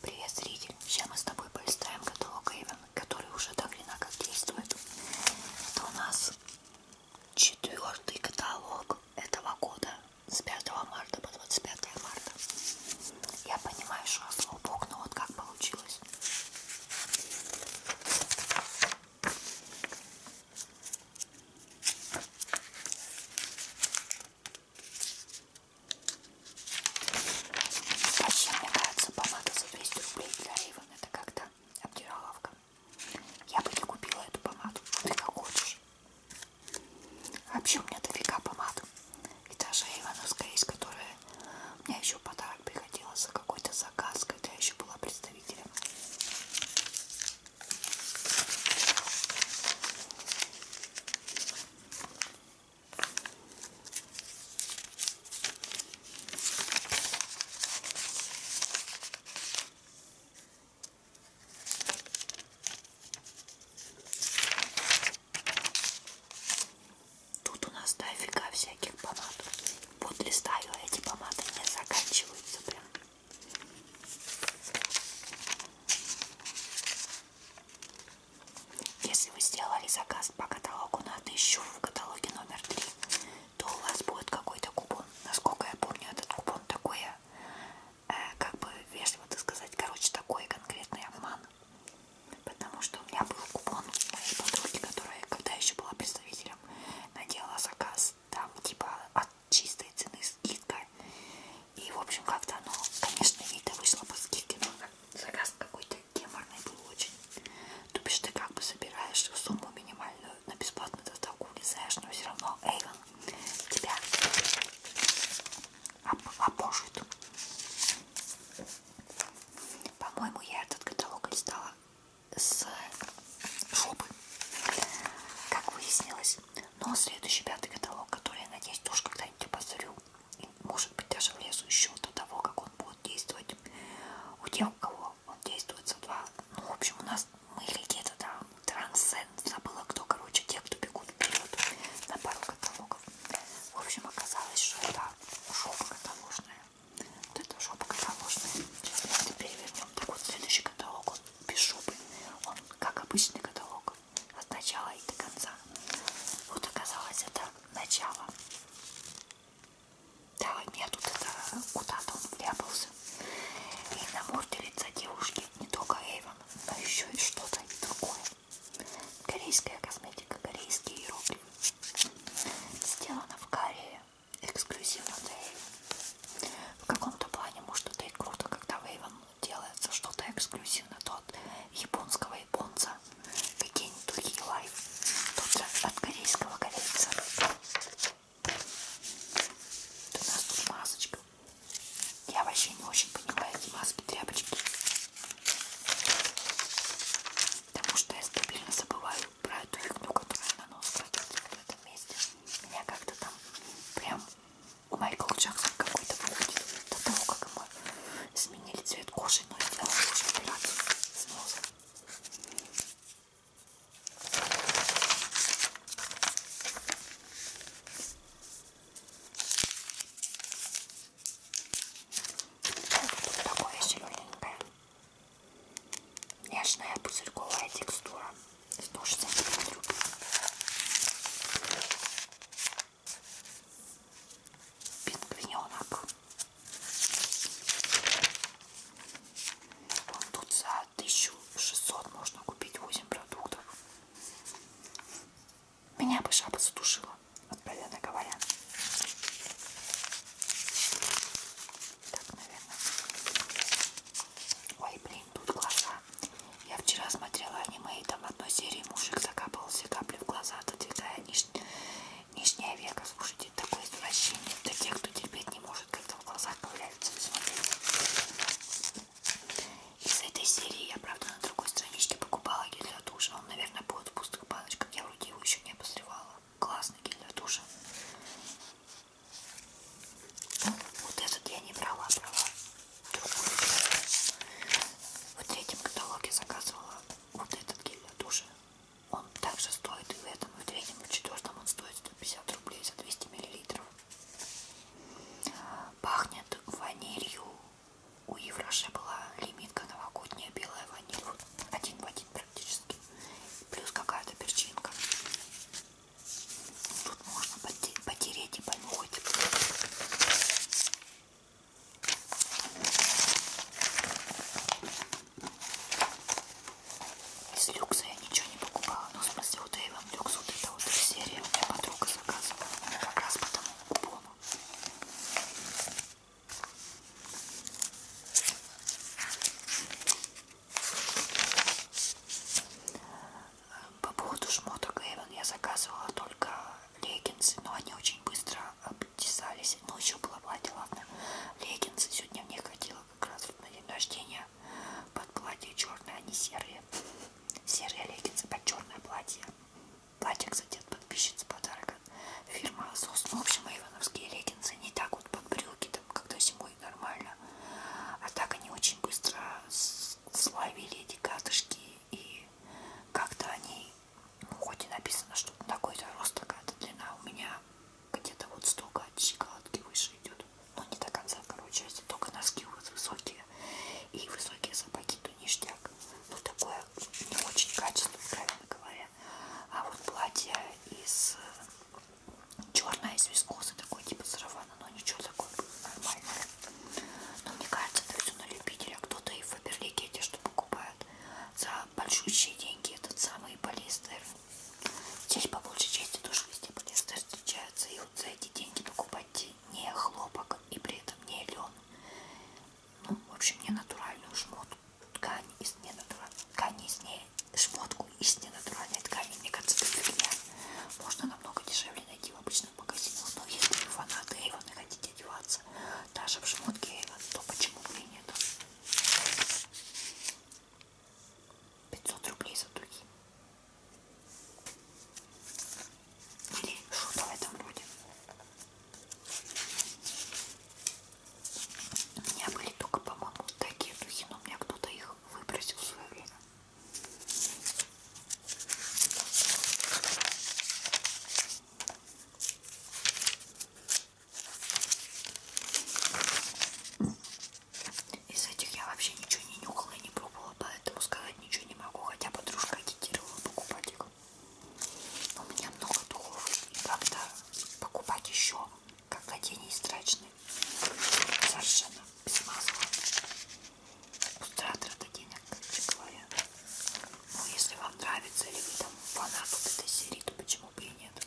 Привет, зритель! Сейчас мы с тобой полистаем каталог Эйвен, который уже так или как действует. Это у нас четвертый каталог этого года с 5 марта по 25 марта. Я понимаю, что я слабок, но вот как получилось. Вообще, мне кажется, помада за 200 рублей для Иван это как-то обдираловка. Я бы не купила эту помаду, ты как хочешь. Вообще, у меня дофига помад. И даже Ивановская есть, которая мне еще подарок приходила за какой-то заказ, когда я еще была представителем. Тут у нас дофига всяких помад. Вот листаю, а эти помады не заканчиваются прям. Если вы сделали заказ по каталогу на 1000 в каталоге номер 3, то у вас будет какой-то купон. Насколько я помню, этот купон такой, э, как бы вежливо так сказать, короче, такой конкретный обман. Потому что у меня был купон у моей подруги, которая, когда еще была представителем, надела заказ там типа от чистой цены скидка и, в общем, как-то оно, конечно, ей-то вышло по скидке, но заказ какой-то геморный был очень. Ну, То бишь ты как бы собираешь сумму минимальную на бесплатную доставку, влезаешь, но все равно Эйвен тебя опожит. По-моему, я этот каталог листала с шопы, как выяснилось. Но следующий пятый каталог, который, я надеюсь, тоже когда-нибудь я посмотрю, может быть даже влезу еще до того, как он будет действовать. У тех, у кого он действует за два, ну, в общем, у нас мы или где-то там трансцент, забыла кто, короче, те, кто бегут вперед на пару каталогов. В общем, оказалось, что это жопа каталожная. Вот это жопа каталожная. Сейчас мы это перевернем. Так вот, следующий каталог, он без жопы. Он как обычный каталог от начала и до конца. Вот оказалось это начало. Да, у меня тут это куда-то он вляпался. И на морде лица девушки не только Эйвен, но еще и что-то другое. Корейская косметика, корейские иероглифы. Сделана в Корее, эксклюзивно для Эйвен. В каком-то плане, может, это и круто, когда в Эйвен делается что-то эксклюзивно то от японского японца, какие-нибудь другие лайф, тут от корейского корейца. Тут у нас тут масочка. Я вообще не очень понимаю эти маски, тряпочки. Потому что я стабильно забываю про эту фигню, которая на нос кладется вот в этом месте. Меня как-то там прям Майкл Джексон какой-то выходит до того, как ему изменили цвет кожи, но сделали уже операцию с носом. Тут такое зелененькое, нежная пузырьковая текстура, 160 мл пингвиненок. Он тут за 1600 можно купить 8 продуктов. Меня бы жаба задушила, откровенно говоря. Так, наверное. Ой, блин, тут глаза. Я вчера смотрела аниме, и там в одной серии мужик закапывался капли в глаза, отодвигая ниж... нижняя века. Слушайте, такое извращение для тех, кто терпеть не может, когда в глазах появляются. Посмотрите. Из этой серии я, правда, на другой страничке покупала гель для душа. Он, наверное, будет в пустых баночках. Я вроде его еще не обозревала. Классный гель для душа. Ну, вот этот я не брала, брала другую. В третьем каталоге заказывала вот этот гель для душа, он также стоит и в этом, и в третьем, и в четвертом он стоит 150 рублей за 200 миллилитров. Пахнет ванилью. У Евроше была лимитка новогодняя белая ваниль. Один в один практически. Плюс какая-то перчинка. Тут можно потереть и понюхать. Из люкса я ничего не покупала, но в смысле вот Эйвен люкс, вот эта вот серия у меня подруга заказывала, как раз по тому купону. По поводу шмоток Эйвен я заказывала только леггинсы, но они очень быстро обтесались. Ночью было платье, ладно. Леггинсы сегодня мне ходила как раз вот на день рождения. Под платье черное, а не серые. Серые леггинсы под черное платье. Платье, кстати, от подписчицы подарок от фирмы Asos. Ну, в общем, ивановские леггинсы не так вот под брюки, там, когда зимой нормально. А так они очень быстро славили эти катышки. И как-то они ну, хоть и написано, что такой-то рост, такая-то длина. У меня где-то вот столько от щиколотки выше идет. Но не до конца, короче, если только носки у вас высокие. И высокие сапоги, то ништяк. Ну, такое не очень качество, правильно говоря. А вот платье из э, черное, из вискозы, такой типа сарафана, но ничего такое нормальное. Но мне кажется, это все на любителя. Кто-то и в Фаберлике эти что покупает за большущие деньги этот самый полиэстер. Здесь по большей части тоже везде полиэстер встречаются. И вот за эти деньги покупать не хлопок и при этом не лен. Ну, в общем, не натуральную шмотку, ткань из ненатуральной ткани из не шмотку из ненатуральной ткани. Мне кажется, это можно намного дешевле найти в обычных магазинах. Но если вы фанаты Эйвона хотите одеваться нравится даже в шмотке, то почему бы и нет. 500 рублей за дуги. Или что-то в этом роде. У меня были только, по-моему, такие духи, но у меня кто-то их выбросил в свое время. Из этих я вообще ничего не нюхала и не пробовала, поэтому сказать ничего не могу, хотя подружка агитировала покупать их. Но у меня много духов, и как-то покупать еще, как одень страчный, совершенно без масла. Утрата денег, короче говоря. Ну, если вам нравится или вы там фанат вот этой серии, то почему бы и нет.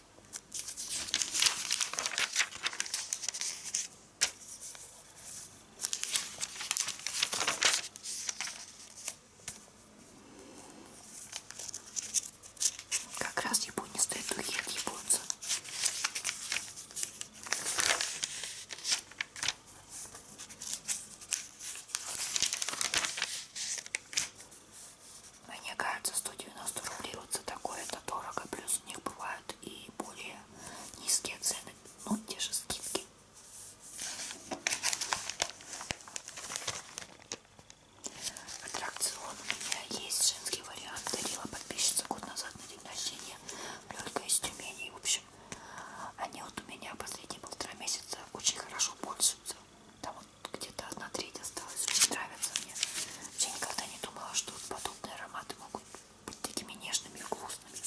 Как раз японистые духи от японца. Мне кажется, 190 рублей вот за такое это дорого. Плюс у них бывают и более низкие цены. Ну, те же скидки. Аттракцион у меня есть. Женский вариант. Дарила подписчица год назад на день рождения. Лёлька из Тюмени. В общем, они вот у меня последние полтора месяца очень хорошо пользуются нравится. Там вот где-то одна треть осталась. Очень нравится мне. Я никогда не думала, что вот подобные ароматы могут быть такими нежными и вкусными.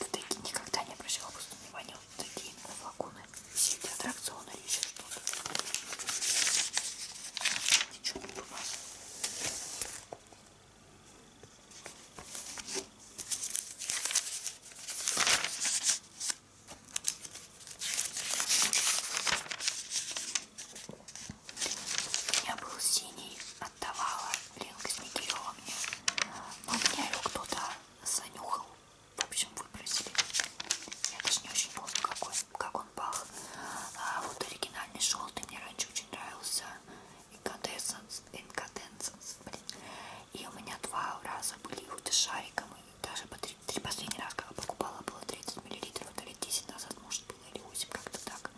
Вот такие никогда не обращала просто внимания. Вот такие именно флаконы. Все эти аттракционы или еще что-то. Ничего не думала. У меня был синий, отдавала Ленка Смекилева мне. Но у меня его кто-то занюхал. В общем, выбросили. Я даже не очень помню, какой, как он пах. А вот оригинальный желтый мне раньше очень нравился. И конденсанс Incandescence, блин. И у меня два раза были с шариком. И даже по три, три последний раз, когда покупала, было 30 мл, то лет 10 назад, может, было или 8, как-то так.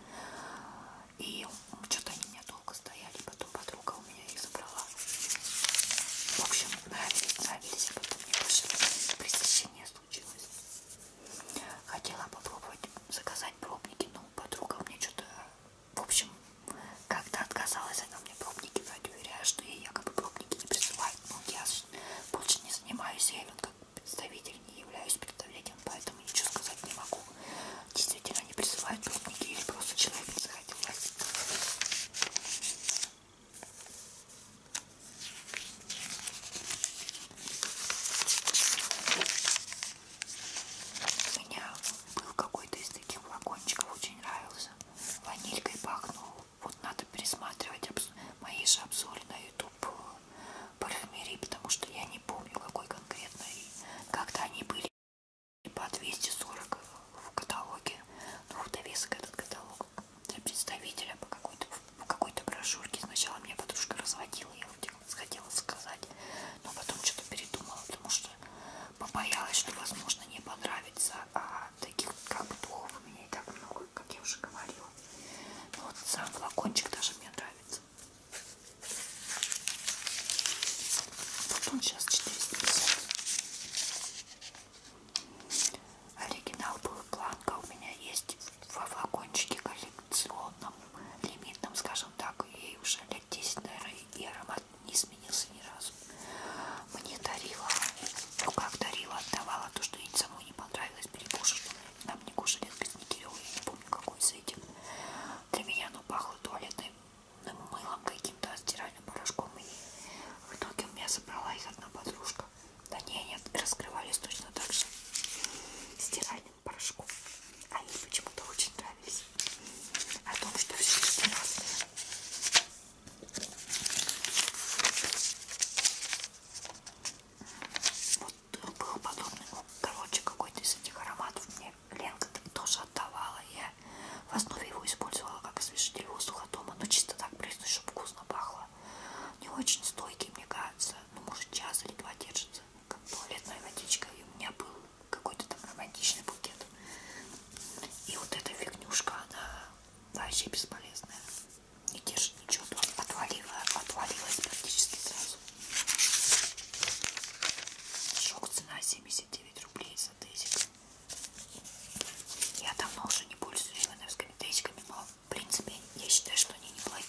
И что-то они у меня долго стояли, потом подруга у меня их забрала. В общем, нравились, нравились, а потом мне больше пресыщение случилось. Хотела попробовать заказать пробники, но подруга мне что-то в общем, когда отказалась, она мне пробники дать, уверяя, что ей якобы пробники не присылают. Но ну, я больше не занимаюсь я как представитель, не являюсь представителем, поэтому ничего сказать не могу. Действительно, не присылают пробники или просто человек не захотел носить. У меня был какой-то из таких флакончиков, очень нравился ванилькой пахнул. Вот надо пересматривать мои же обзоры на YouTube э, парфюмерии, потому что я не помню, какой конкретно и когда они были по 240 в каталоге. Ну, в довесок этот каталог для представителя по какой-то какой брошюрке. Сначала меня подружка разводила, я вроде сходила сказать, но потом что-то передумала, потому что побоялась, что, возможно, не понравится. А таких как бы духов у меня и так много, как я уже говорила. Но ну, вот сам флакончик даже мне нравится. Вот он сейчас 450. Оригинал был планка у меня есть во флакончике коллекционном, лимитном, скажем так, и уже лет 10, наверное, и аромат не изменился ни разу. Мне дарила, ну как дарила, отдавала то, что ей самой не понравилось, перекушала. Нам не кушали Никирева, я не помню, какой из этих. Для меня оно пахло туалетным мылом каким-то, стиральным порошком. И в итоге у меня забрала их одна подружка. Да не, они раскрывались точно так же стиральным порошком. Они почему-то очень нравились. О том, что все стиралось. Вот э, был подобный, ну, короче, какой-то из этих ароматов мне Ленка тоже отдавала. Я в основе его использовала как освежитель воздуха дома, но чисто так признать, чтобы вкусно пахло. Не очень стойкий, мне кажется, но ну, может час или два держится, как туалетная водичка. И у меня был какой-то там романтичный букет. И вот эта фигнюшка, она вообще бесполезная. Не держит ничего, отвалила, отвалилась практически сразу. Шок цена 79 рублей за тезик. Я давно уже не пользуюсь ивановскими тезиками, но в принципе я считаю, что они неплохие.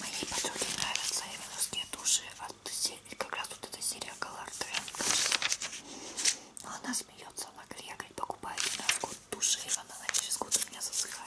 Моей подруге нравятся именно такие души от серии, как раз вот эта серия Color Trend. Но она смеется, она говорит, я говорит, покупаю раз год души, и она на через год у меня засыхает.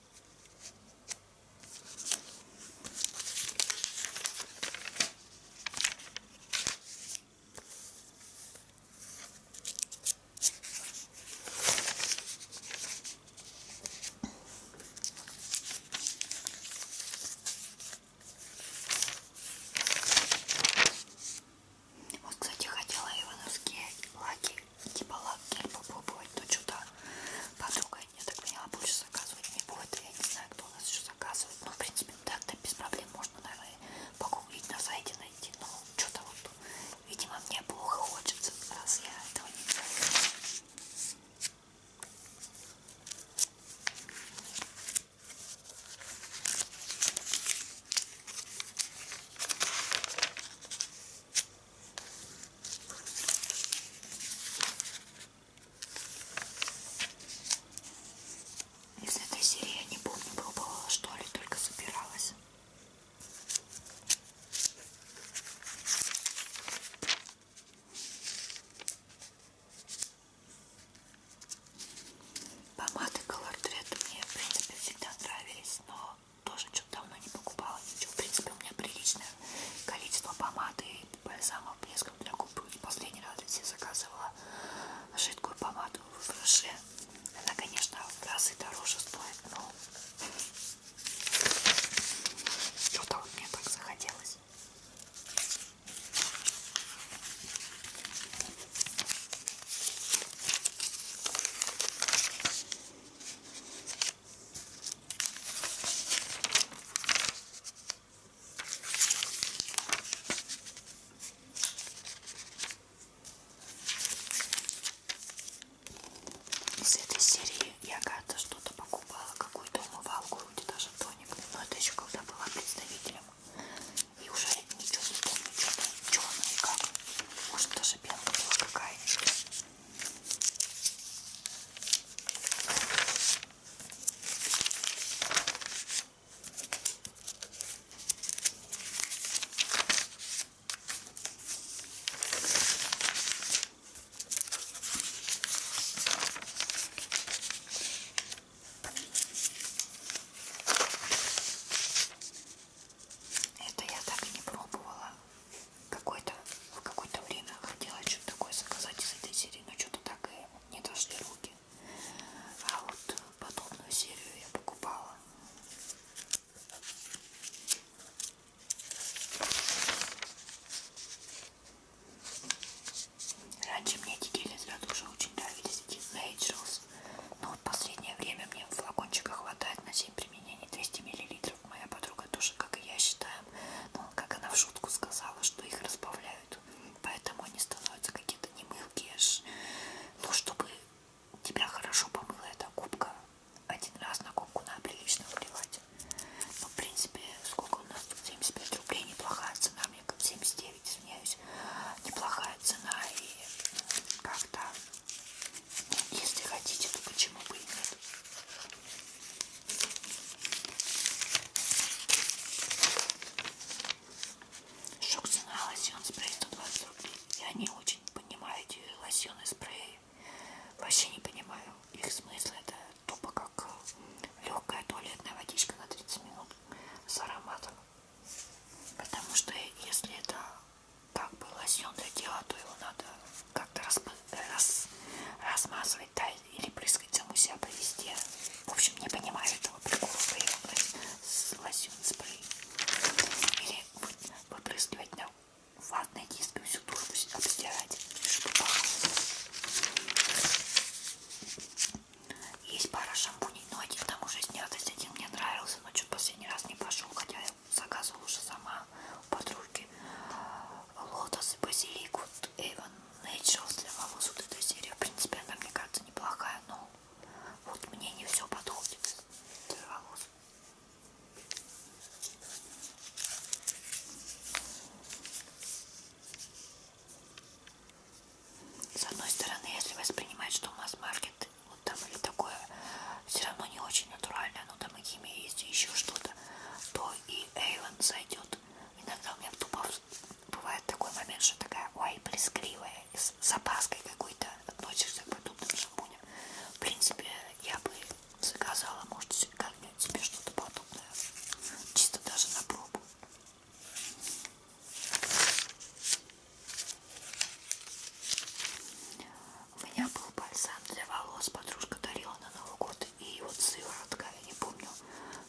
Вот, кстати, хотела ивановские лаки типа лаки попробовать, то что-то подруга не так меня больше заказывать не будет, я не знаю, кто у нас еще заказывает, но ну, в принципе так-то без проблем можно, наверное, погуглить на сайте, найти, но что-то вот, видимо, мне плохо хочется, раз я этого не делаю. Из этой серии я не помню, пробовала что ли, только собиралась. Помады Color Dread мне, в принципе, всегда нравились, но тоже что-то давно не покупала ничего. В принципе, у меня приличное количество помады и бальзамов блеском для губ. И последний раз я заказывала жидкую помаду в Роше. Она, конечно, в разы дороже стоит, но что-то вот мне так захотелось. Из этой серии я когда-то что-то покупала, какую-то умывалку, вроде даже тоник, но это еще когда была представителем. И уже ничего не помню, что-то черное как. Может даже белка была какая-нибудь. Это я так и не пробовала какое-то в какое-то время хотела что-то такое заказать из этой серии, но что-то так и не дошли руки. А вот подобную серию я покупала. Раньше мне эти гели для душа очень нравились, эти Naturals. Но вот последнее время мне флакончика хватает на 7 применений 200 мл. Каплю. Моя подруга тоже, как и я, считаем, но ну, как она в шутку сказала, что их разбавляют. Поэтому они становятся какие-то немылкие. А ну, чтобы тебя хорошо помыла эта губка, один раз на губку надо прилично вливать. Ну, в принципе, сколько у нас тут? 75 рублей. Неплохая цена, мне как 79, извиняюсь. Неплохая цена и ну, как-то, ну, если хотите, то почему бы и нет. Шуксина лосьон спрей 120 рублей. Я не очень понимаю эти лосьоны спреи. Вообще не понимаю их смысл. Это тупо как э, легкая туалетная водичка на 30 минут с ароматом. Потому что если это как бы лосьон для тела, то его надо как-то распылить раз, размазывать, да, или прыскать саму себя по везде. В общем, не понимаю этого прикола с лосьон спрей. Или выпрыскивать на ватной диски всю дурку обстирать, чтобы пахло. Есть пара шампуней, но один там уже снятость, один мне нравился, но что-то последний раз не пошел, хотя я заказывала уже сама у подруги лотос и базилик вот Avon Naturals для волос вот эта серия принципиально мне кажется неплохая но вот мне не все подходит для волос с одной стороны если воспринимать что масс-маркет вот там или такое все равно не очень натурально ну там и химия есть, и еще что-то, то и Эйвен зайдет. Иногда у меня тупо бывает такой момент, что такая, ой, прескривая, с запаской какой-то относишься к подобным шампуням. В принципе, я бы заказала, может, как-нибудь себе что-то подобное, чисто даже на пробу. У меня был бальзам для волос, подружка дарила на Новый год, и вот сыворотка, я не помню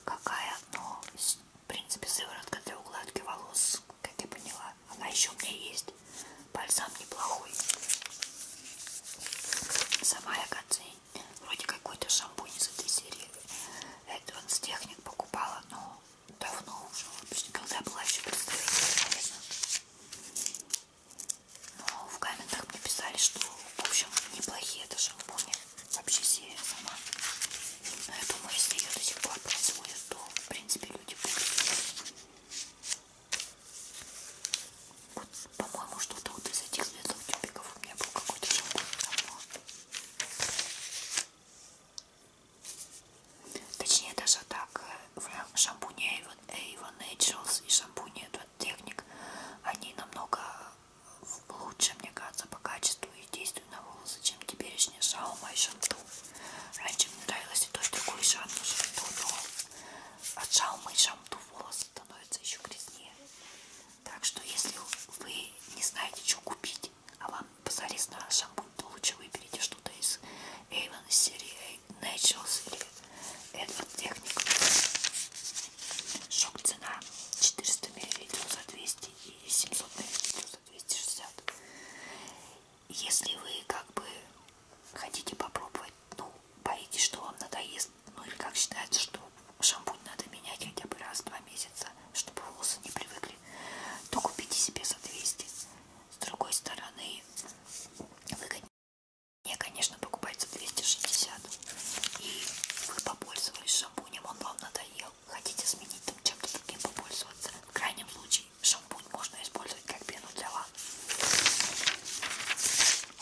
какая, но в принципе сыворотка для укладки волос, как я поняла, она еще у меня есть, бальзам неплохой. Сама я вроде какой-то шампунь из этой серии, это он с техник покупала, но давно уже, когда была еще представитель, наверное. Но в комментах мне писали, что, в общем, неплохие это шампуни. Вообще серия сама. Но я думаю, если ее до сих пор производят, то, в принципе, люди будут. Вот, по-моему, что-то вот из этих светлых тюбиков у меня был какой-то шампунь давно. Точнее, даже так, э, в шампуне Avon Naturals и шампуне Эдвард Техник блеск, они намного лучше, мне кажется, по качеству и действию на волосы, чем теперешний Шаума и Шанту. Раньше мне нравилось и то, и другое, и Шанту, Шанту, но от Шаума и Шанту волосы становятся еще грязнее. Так что, если вы не знаете, что купить, а вам позарез на шампунь, то лучше выберите что-то из Avon серии Naturals или Edward Technic. Шок цена 400 мл за 200 и 700 мл за 260. Если вы как бы хотите попробовать, ну, боитесь, что вам надоест, ну или как считается, что шампунь надо менять хотя бы раз в два месяца, чтобы волосы не привыкли, то купите себе за 200. С другой стороны, выгоднее мне, конечно, покупать за 260. И вы попользовались шампунем, он вам надоел. Хотите сменить там чем-то другим попользоваться? В крайнем случае шампунь можно использовать как пену для ванны.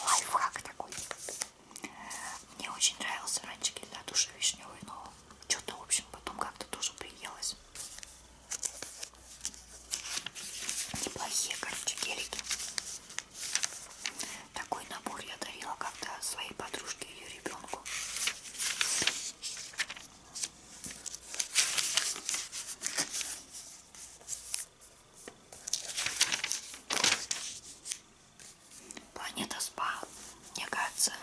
Лайфхак такой. Мне очень нравился раньше гель для душа вишневый, но что-то, в общем, потом как-то тоже приелось. Неплохие, короче, гелики. Такой набор я дарила как-то своей подружке и ее ребенку. Планета СПА, мне кажется,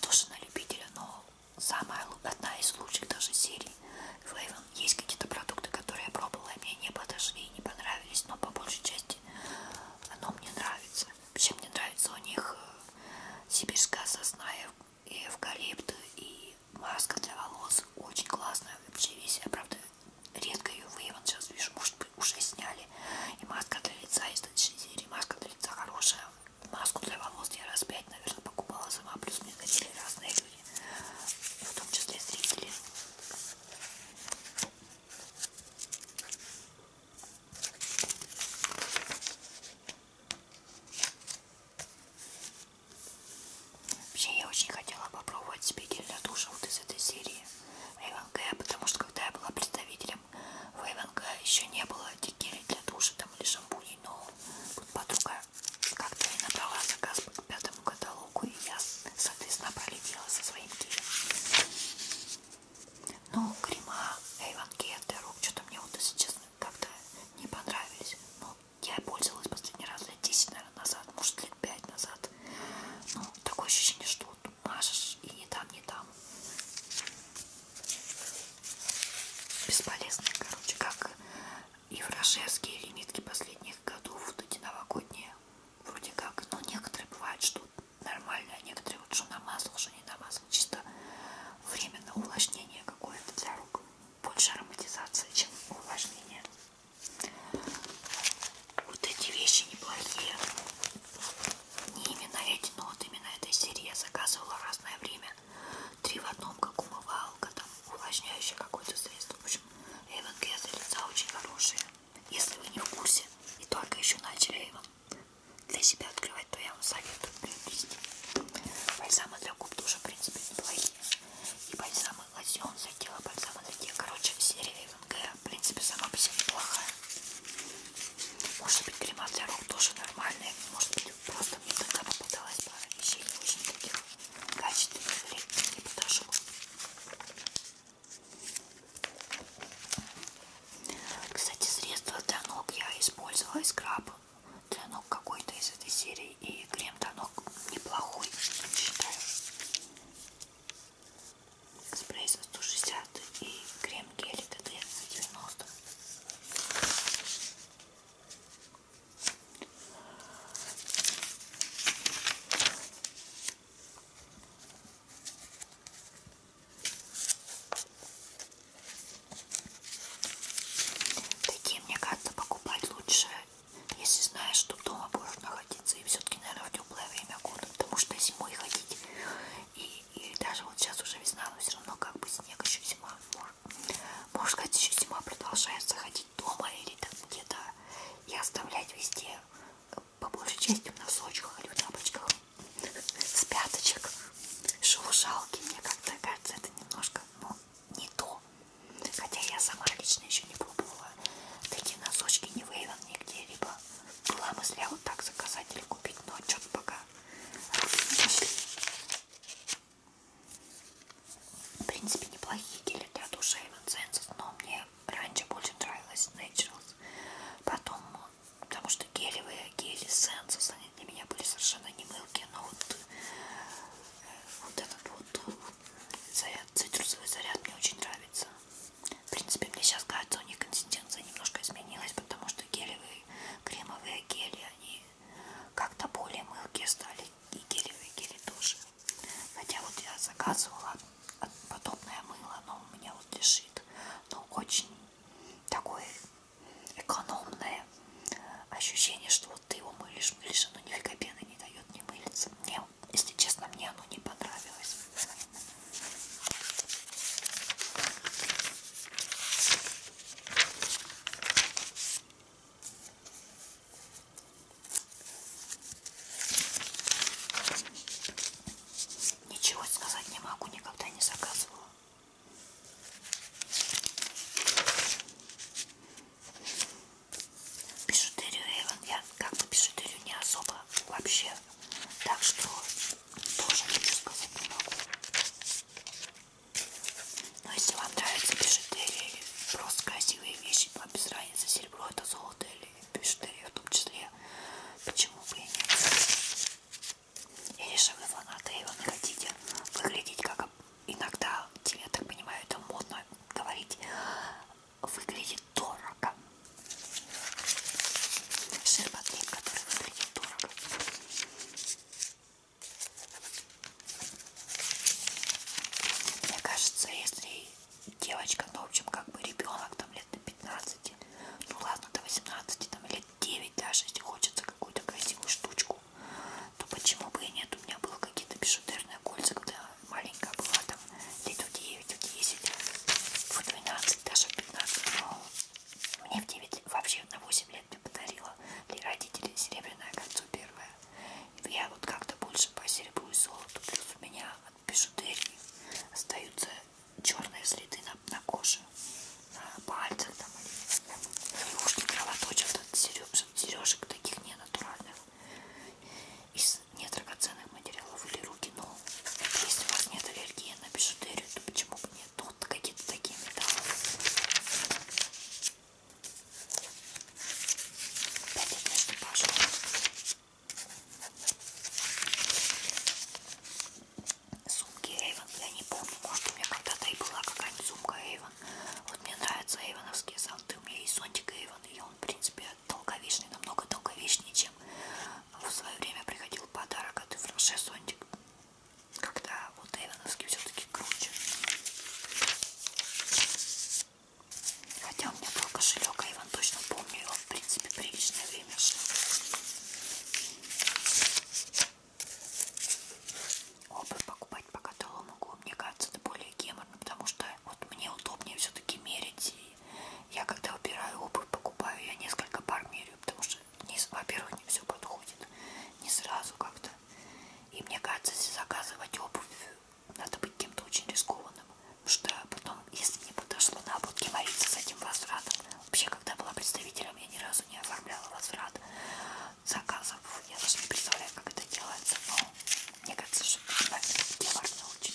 тоже на любителя, но самая одна из лучших даже серий. В Эйвен есть какие-то продукты, которые я пробовала, и мне не подошли и не понравились понравились, но по большей части оно мне нравится. Вообще мне нравится у них э, сибирская сосна и э, эвкалипт и маска для волос. Очень классная вообще весь. Я, правда, редко ее выявил. Сейчас вижу, может быть, уже сняли. И маска для лица из этой серии. Маска для лица хорошая. Маску для волос я раз пять, наверное, покупала сама. Плюс мне дарили разные люди, в том числе зрители. Вообще, я очень хотела попробовать спигель для душа вот из этой серии ВНГ, потому что когда я была представителем в ВНГ, еще не было дикелей для душа там или шампуней, но тут подруга как-то и набрала заказ по пятому каталогу руку, и я, соответственно, пролетела со своим гелем. Ну, крема, Эйвен Гель для рук, что-то мне вот, если честно, как-то не понравились. Ну, я пользовалась последний раз лет 10, наверное, назад, может, лет 5 назад. Ну, такое ощущение, что вот мажешь и не там, не там. Бесполезные, короче, как и Фрашевские лимитки последних годов, вот эти новогодние вроде как, ну некоторые бывают, что нормально, а некоторые вот что намазал, что не намазал, чисто временно увлажнение какое-то для рук, больше ароматизация, чем увлажнение. Вот эти вещи неплохие, не именно эти, но вот именно этой серии я заказывала в разное время, три в одном, как умывалка, там увлажняющее какое-то средство, в общем, эвенки для лица очень хорошие. Если вы не в курсе и только еще начали его для себя открывать, то я вам советую приобрести. Бальзамы для губ тоже, в принципе, неплохие. И бальзамы лосьон за тело, бальзамы для тех. Короче, серия МГ, в принципе, сама по себе неплохая. Может быть, крема для рук тоже нормальная. Может быть, просто мне тогда попадалась пара вещей не очень таких качественных или не подошло. Кстати, средство для ног я использовала и скраб для ног какой-то из этой серии. И крем для ног неплохой, считаю. Спрей за 160 и крем гель ТТ за 90. Такие, мне кажется, покупать лучше, если знаешь, что дома будешь находиться. И все-таки, наверное, в теплое время года, потому что зимой ходить. И, и даже вот сейчас уже весна, но все равно как бы снег, еще зима. Можно сказать, еще зима продолжается ходить дома или там где-то и оставлять везде по большей части в носочках или в тапочках с пяточек. Шелушалки, мне как-то кажется, это немножко, ну, не то. Хотя я сама лично еще не пробовала такие носочки, не выявила нигде, либо была мысль а вот так заказать или купить, но что-то пока не дошли. В принципе, неплохие гели для душа и но мне раньше больше нравилась Naturals, потом, потому что гелевые, гели Senses, они для меня были совершенно не мылки, но вот, э, вот этот вот заряд, цитрусовый заряд мне очень нравится. В принципе, мне сейчас кажется, у них консистенция немножко изменилась, потому что гелевые, кремовые гели, они как-то более мылкие стали, и гелевые гели тоже. Хотя вот я заказывала подобное мыло, но у меня вот лежит. Но очень такое экономное ощущение, что вот ты его мылишь, мылишь, оно нифига пены не дает, не мылится. Мне, если честно, мне оно не понравилось. Ничего сказать не могу, никогда не заказывала. Бижутерию Эйвен я как бы бижутерию не особо вообще. Так что тоже ничего сказать не могу. Но если вам нравится бижутерия или просто красивые вещи, вам без разницы, серебро это золото или бижутерию в том числе. Почему бы и нет? Я решила, вы фанаты Эйвона хотите выглядеть как иногда, я так понимаю, это модно говорить, выглядит дорого. Ширпотреб, который выглядит дорого. Мне кажется, если девочка, ну, в общем, как бы ребенок, там, лет до 15, ну, ладно, до 18, там, лет 9 даже, если хочется какую-то красивую штучку, то ну, почему бы и нет, у меня было какие-то бижутерные кольца, когда маленькая была, там, лет в 9, в 10, в 12, даже в 15, но мне в 9, вообще на 8 лет мне подарила для родителей серебряное кольцо первое, я вот как-то больше по серебру и золоту, плюс у меня бижутерии остаются черные следы на, на коже, на пальцах там, или ушки кровоточат от сережек, сережек таких ненатуральных, из недрагоценных материалов или руки, но если у вас нет аллергии на бижутерию, то почему бы нет? Ну, вот какие-то такие металлы. Опять одна Сумки Эйвен, я не помню, может у меня когда-то и была какая-нибудь сумка Эйвен. Вот мне нравятся эйвоновские зонты, у меня есть зонтик Эйвен, и он, в принципе, долговечный, намного долговечнее, чем в свое время приходил подарок от Франше зонтик, когда вот эйвоновский все-таки круче. Хотя у меня был кошелек, а Иван точно помню, его в принципе приличное время шло. Обувь покупать по каталогу могу, мне кажется, это более геморно, потому что вот мне удобнее все-таки мерить. И я когда убираю обувь, покупаю, я несколько пар меряю, потому что, во-первых, не все подходит, не сразу как-то. И мне кажется, если заказывать обувь, надо быть кем-то очень рискованным что потом, если мне подошло на ободке мориться с этим возвратом, вообще, когда была представителем, я ни разу не оформляла возврат заказов. Я даже не представляю, как это делается, но мне кажется, что это геморно очень.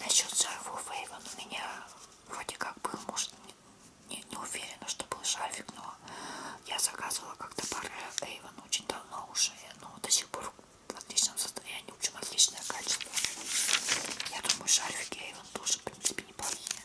Насчет шарфов Эйвен у меня вроде как был, может, не, не уверена, что был шарфик, но я заказывала как-то пары Эйвен ну, очень давно уже, но ну, до сих пор в отличном состоянии, в общем, отличное качество. Я думаю, шарфики Эйвен тоже, в принципе, неплохие.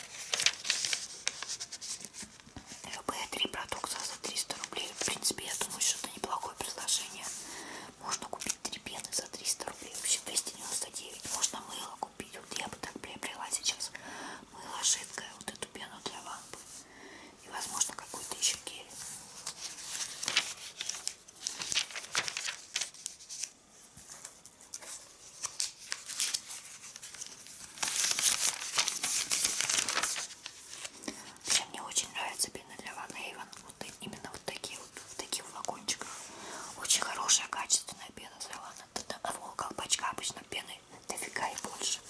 Любые три продукта за 300 рублей. В принципе, я думаю, что это неплохое предложение. Можно купить три пены за 300 рублей. Вообще 299. Можно мыло купить. Вот я бы так приобрела сейчас мыло жидкое. Вот эту пену для лампы. И, возможно, какой-то еще гель. Прям мне очень нравится пена для Ван Эйвен. Вот именно вот такие вот в таких флакончиках. Очень хорошая, качественная пена для Ван Эйвен. колпачка обычно пены дофига и больше.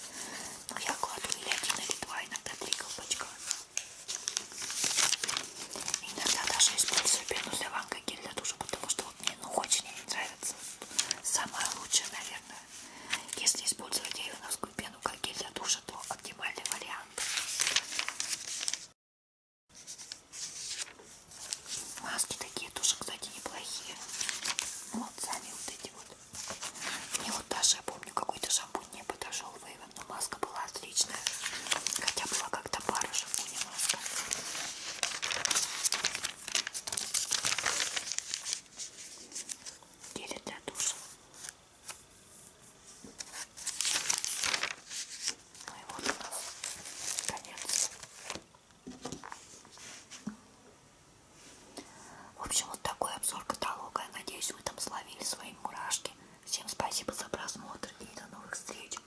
Но я кладу или один, или два, иногда три колпачка. Иногда даже использую пену для ванга гель для душа, потому что мне ну очень они нравятся. Самое лучшее, наверное, если использовать айоновскую пену как гель для душа, то оптимальный вариант. Маски такие тоже, кстати, неплохие. Вот сами вот эти вот. Мне вот даже, я помню, какой-то шампунь не подошел в Эйвен, но маска была отличная. Хотя была как-то барышевку немножко. Гель для душа. Ну и вот у нас конец. В общем, вот такой обзор каталога. Я надеюсь, вы там словили свои мурашки. Всем спасибо за просмотр и до новых встреч.